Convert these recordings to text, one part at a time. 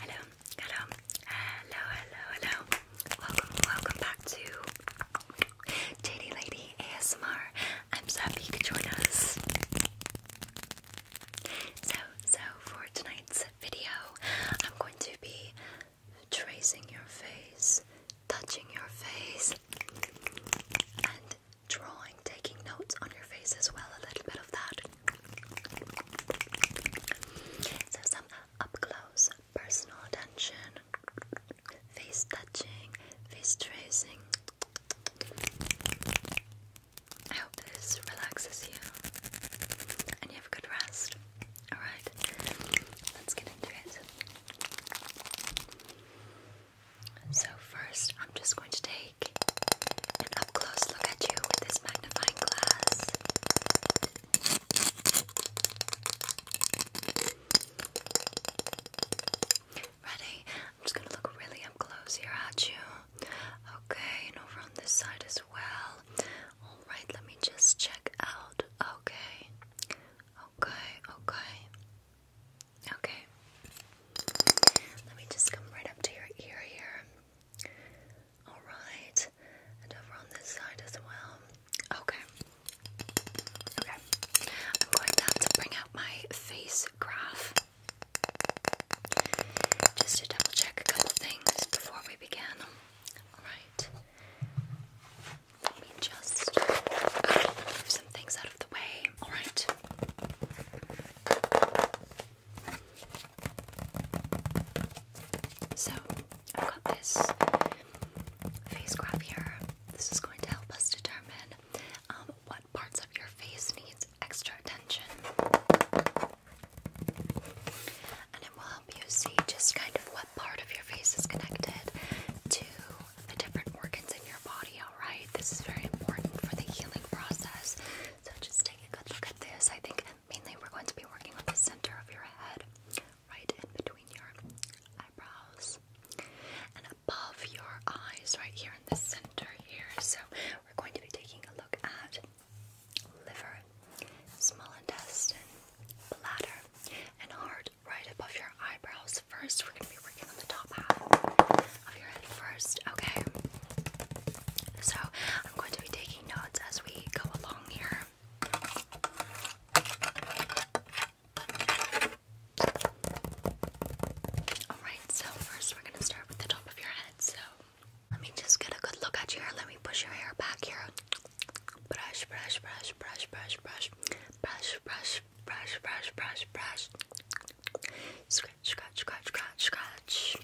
Hello, hello, hello, hello, hello. Welcome, welcome back to JD Lady ASMR. I'm so happy you could join us. So, so for tonight's video, I'm going to be tracing your face, touching your face, and drawing, taking notes on your face as well, a little bit of that. So some up close personal attention, face touching, face tracing. I this relaxes you and you have a good rest. Alright, let's get into it. So, first, I'm just going to take an up close look at you with this magnifying glass. Ready? I'm just going to look really up close here at you. Okay, and over on this side as well. Alright, let me just check out. Okay. Okay, okay. Okay. Let me just come right up to your ear here. Alright. And over on this side as well. Okay. Okay. I'm going to bring out my face graph. Just to double check a couple things before we begin. Alright. Let me just move oh, some things out of the way. Alright. So, I've got this face graph here. This is going to help us determine um, what parts of your face needs extra attention. And it will help you see just kind of what part of your face is connected to the different organs in your body, alright? This is very important for the healing process so just take a good look at this. I think mainly we're going to be working on the center of your head, right in between your eyebrows, and above your eyes, right here in the center here. So we're going to be taking a look at liver, small intestine, bladder, and heart right above your eyebrows. First, we're going to be working on the top half of your head first, okay? So I'm going to be taking notes as we go along here. Alright, so first we're gonna start with the top of your head. So let me just get a good look at your hair. Let me push your hair back here. Brush, brush, brush, brush, brush, brush, brush, brush, brush, brush, brush, brush, Scratch, scratch, scratch, scratch, scratch.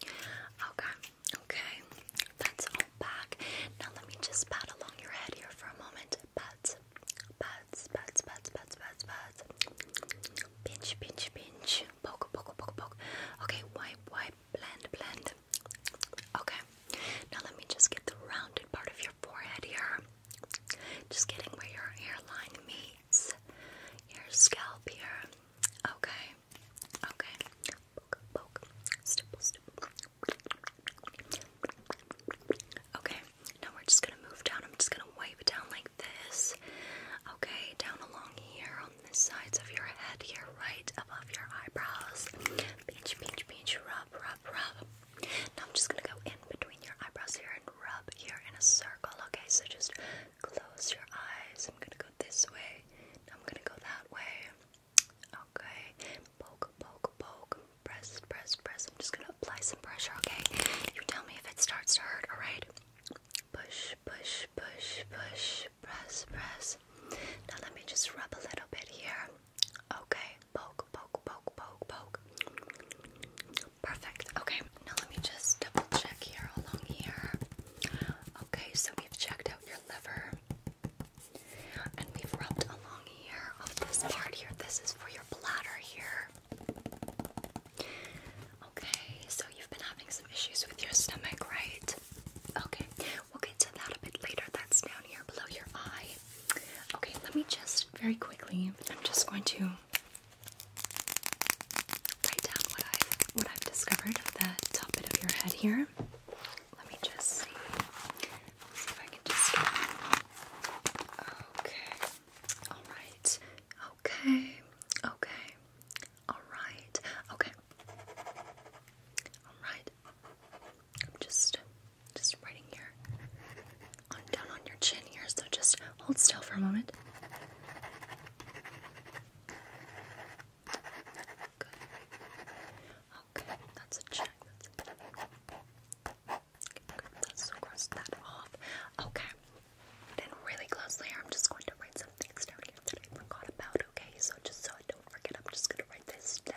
Okay, okay. That's all back. Now let me just pat along your head here for a moment. Pat, pat, pat, pat, pat, pat, pat. Pinch, pinch, pinch. Poke, poke, poke, poke. Okay, wipe, wipe, blend, blend. Okay, now let me just get the rounded part of your forehead here. Just getting where your hairline meets towards your scalp here. Okay, okay. Poke, poke, stipple, stipple. Okay, now we're just gonna move down. I'm just gonna wipe it down like this. Okay, down along here on the sides of your head here, right above your eyebrows. Pinch, pinch, pinch, rub, rub, rub. Now I'm just gonna go in between your eyebrows here and rub here in a circle. Okay, so just close your eyes. I'm gonna go this way. I'm gonna go that way. Okay, poke, poke, poke. Press, press, press. I'm just gonna apply some pressure. Okay, you tell me if it starts to hurt. All right. Push, push, push, push. Press, press. Now let me just rub a little bit here. Okay, poke, poke, poke, poke, poke, Perfect. Okay, now let me just double check here along here. Okay, so we've checked out your liver and we've rubbed along here of this part here. This is for your bladder here. Okay, so you've been having some issues with your stomach, right? Okay, we'll get to that a bit later. That's down here below your eye. Okay, let me just very quickly, I'm just going to write down what i what I've discovered with the top bit of your head here. Let me just see if I can just. Okay. All right. Okay. Okay. All right. Okay. All right. I'm just just writing here down on your chin here, so just hold still for a moment. Okay, that's a check. let's cross that off. Okay. Then really closely, I'm just going to write some things down that I forgot about, okay? So just so I don't forget, I'm just gonna write this down.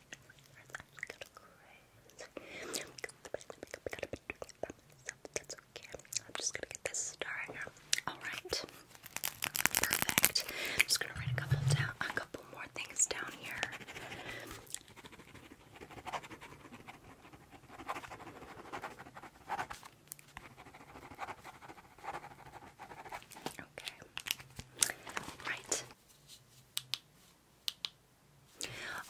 I'm just gonna get this star in Alright. Perfect. I'm just gonna write a couple down a couple more things down here. Okay. Right.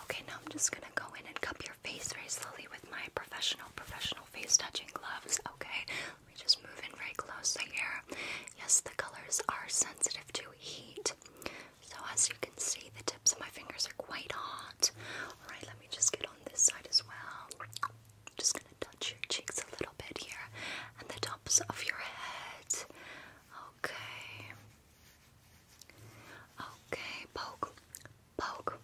Okay, now I'm just gonna go in and cup your face very slowly with my professional, professional face touching gloves. Okay, let me just move in very close here. Yes, the colors are sensitive to heat. So, as you can see, the tips of my fingers are quite hot. Alright, let me just get on this side as well. just gonna touch your cheeks a little bit here and the top tops of your head. Okay. Okay, poke, poke.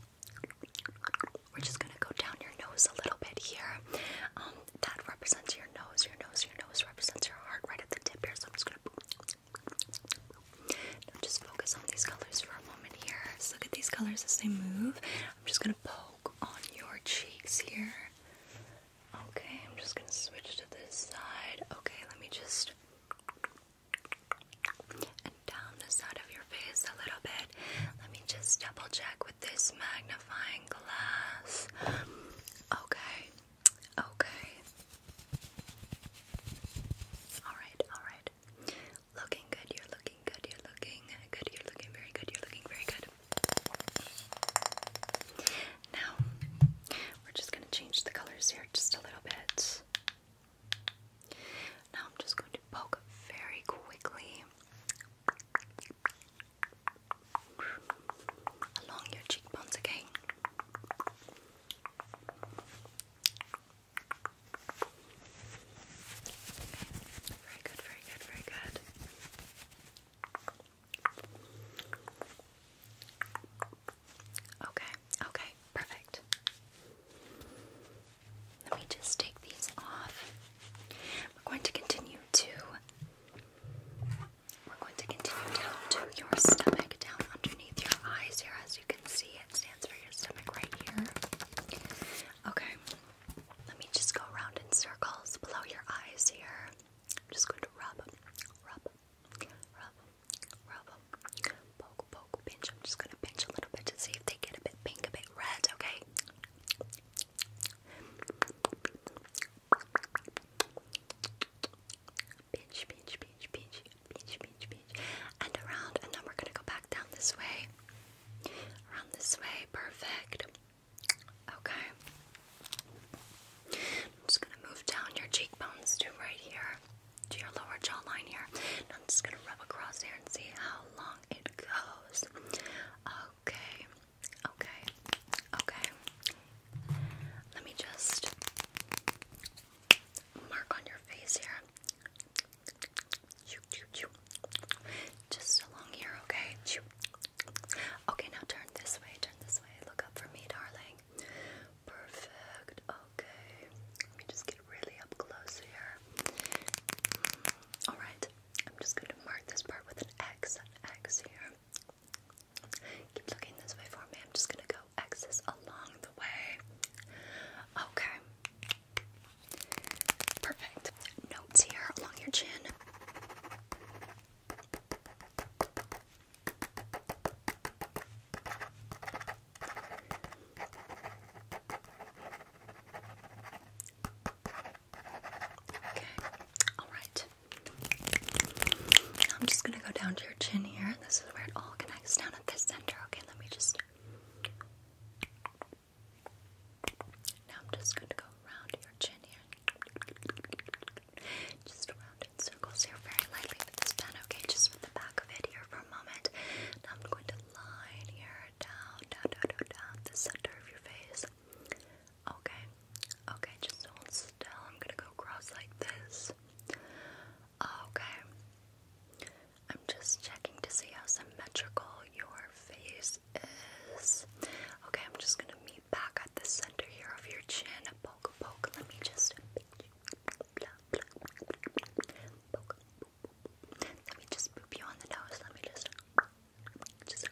We're just gonna go down your nose a little bit here. Um, that represents your nose. Your nose. Your nose represents your heart right at the tip here. I'm just gonna. just focus on these colors for a moment here. look at these colors as they move. I'm just gonna poke on your cheeks here. Okay, I'm just gonna switch to this side. Okay, let me just and down the side of your face a little bit. Let me just double check with this magnifying glass. Okay, okay. Alright, alright. Looking good, you're looking good, you're looking good, you're looking very good, you're looking very good. Now, we're just going to change the colors here just a little bit. Now, I'm just going to poke very quickly along your cheekbones again. Very good, very good, very good. Okay, okay, perfect. Let me just take these off. We're going to continue to we're going to continue down to your stomach, down underneath your eyes here. As you can see, it stands for your stomach right here. Okay. Let me just go around in circles below your eyes here. I'm just going to rub, rub, rub, rub, poke, poke, pinch. I'm just going to pinch a little bit to see if they get a bit pink, a bit red, okay? Pinch, pinch, pinch, pinch, pinch, pinch, pinch. And around, and then we're going to go back down this way. Around this way, perfect. Okay. I'm just gonna move down your cheekbones to right here, to your lower jawline here. And I'm just gonna rub across here and see how long it goes. Okay, okay, okay. Let me just mark on your face here. Just along here, okay? Okay, now turn this way, turn this way. Look up for me, darling. Perfect. Okay. Let me just get really up close here. Mm-hmm. Alright, I'm just going to mark this part with an X, an X here. Keep looking this way for me. I'm just going to go X's along the way. Okay. Perfect. Notes here along your chin. Okay, all right. I'm just gonna go down to your chin here, this is where it all connects down at this center. Okay, let me just. Now I'm just going to go around your chin here. Just around in circles here very lightly with this pen, okay? Just with the back of it here for a moment. Now I'm going to line here down, down, down, down, down, the center of your face. Okay, okay, just hold still. I'm gonna go across like this. Okay. I'm just checking to see how symmetrical your face Okay, I'm just gonna meet back at the center here of your chin. Poke, poke. Let me just. Let me just boop you on the nose. Let me just. Just.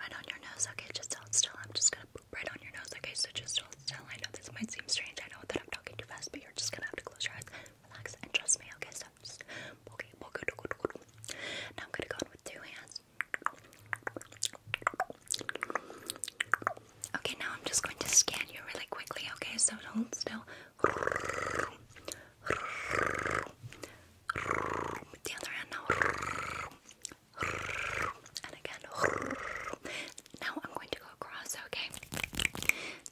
Right on your nose. Okay, just hold still. I'm just gonna boop right on your nose. Okay, so just hold I know this might seem strange. I know that I'm talking too fast, but you're just gonna have to close your eyes, relax, and trust me. Okay, so Now I'm gonna go in with two hands. Okay, now I'm just going to scan you really quickly, okay? So don't still. The other hand now. And again. Now I'm going to go across, okay?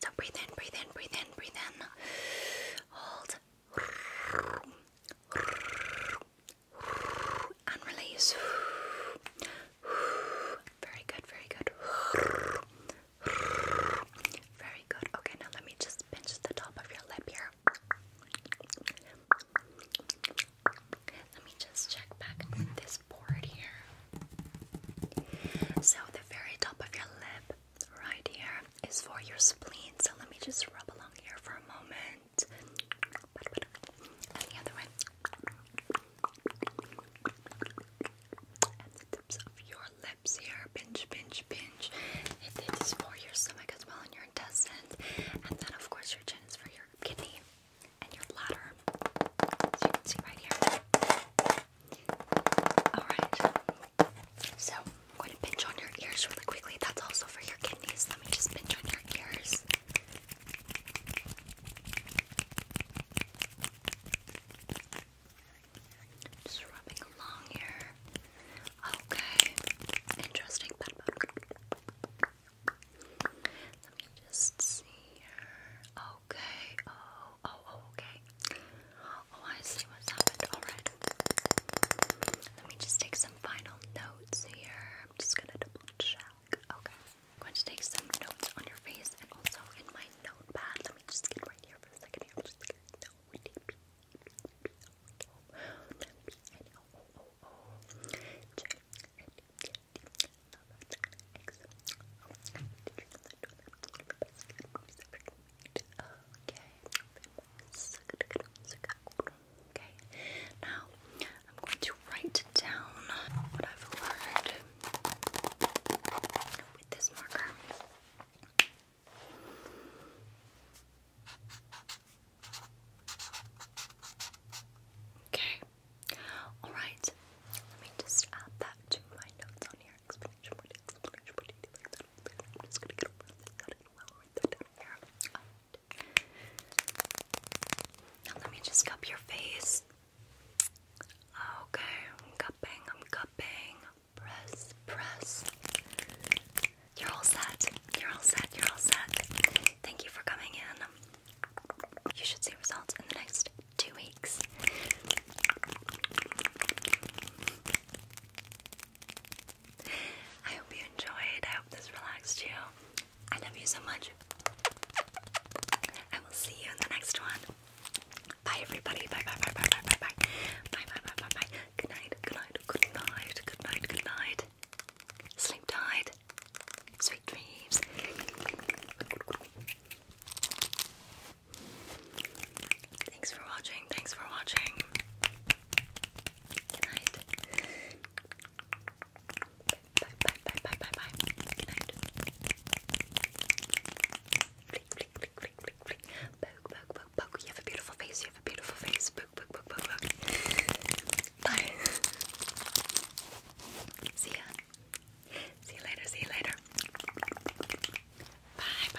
So breathe in, breathe in, breathe in, breathe in. Hold and release. Very good, very good. Very good. Okay, now let me just pinch the top of your lip here. Let me just check back with this board here. So, the very top of your lip, right here, is for your spleen. So let me just rub along here for a moment. And the other way. And the tips of your lips here. Pinch, pinch, pinch. It is for your stomach as well and your intestines. And then, of course, your chin is for your kidney and your bladder. So you can see right here. Alright. So I'm going to pinch on your ears really quickly. That's also for your kidneys. Let me just pinch on your ears. Just rubbing along here. Okay. Interesting. Let me just see here. Okay. Oh, oh, oh okay. Oh, I see what's happened. Alright. Let me just take some final notes here. I'm just gonna double check. Okay. I'm going to take some notes on your face and also in my notepad. Let me just get right here for a second Okay, Okay, now I'm going to write down what I've learned with this marker. Okay, alright. Let me just add that to my notes on here. Explanation, explanation, I'm just gonna get over this. it well let me just cup your face. Okay, cupping, I'm cupping. Press, press. You're all set. You're all set. You're all set. Thank you for coming in. You should see results in the next two weeks. I hope you enjoyed. I hope this relaxed you. I love you so much. I will see you in the next one. Bye everybody. Bye bye bye bye bye bye bye. Bye bye bye bye bye. Good night. Good night. Good night. Good night. Good night. Sleep tight. Sweet dreams. Thanks for watching. Thanks for watching. Good Bye, bye, bye, bye, bye, bye. Good night. Flick, flick, flick, flick, flick, You have a beautiful face. You have a beautiful face. Bye. See ya. See you later. See you later. bye.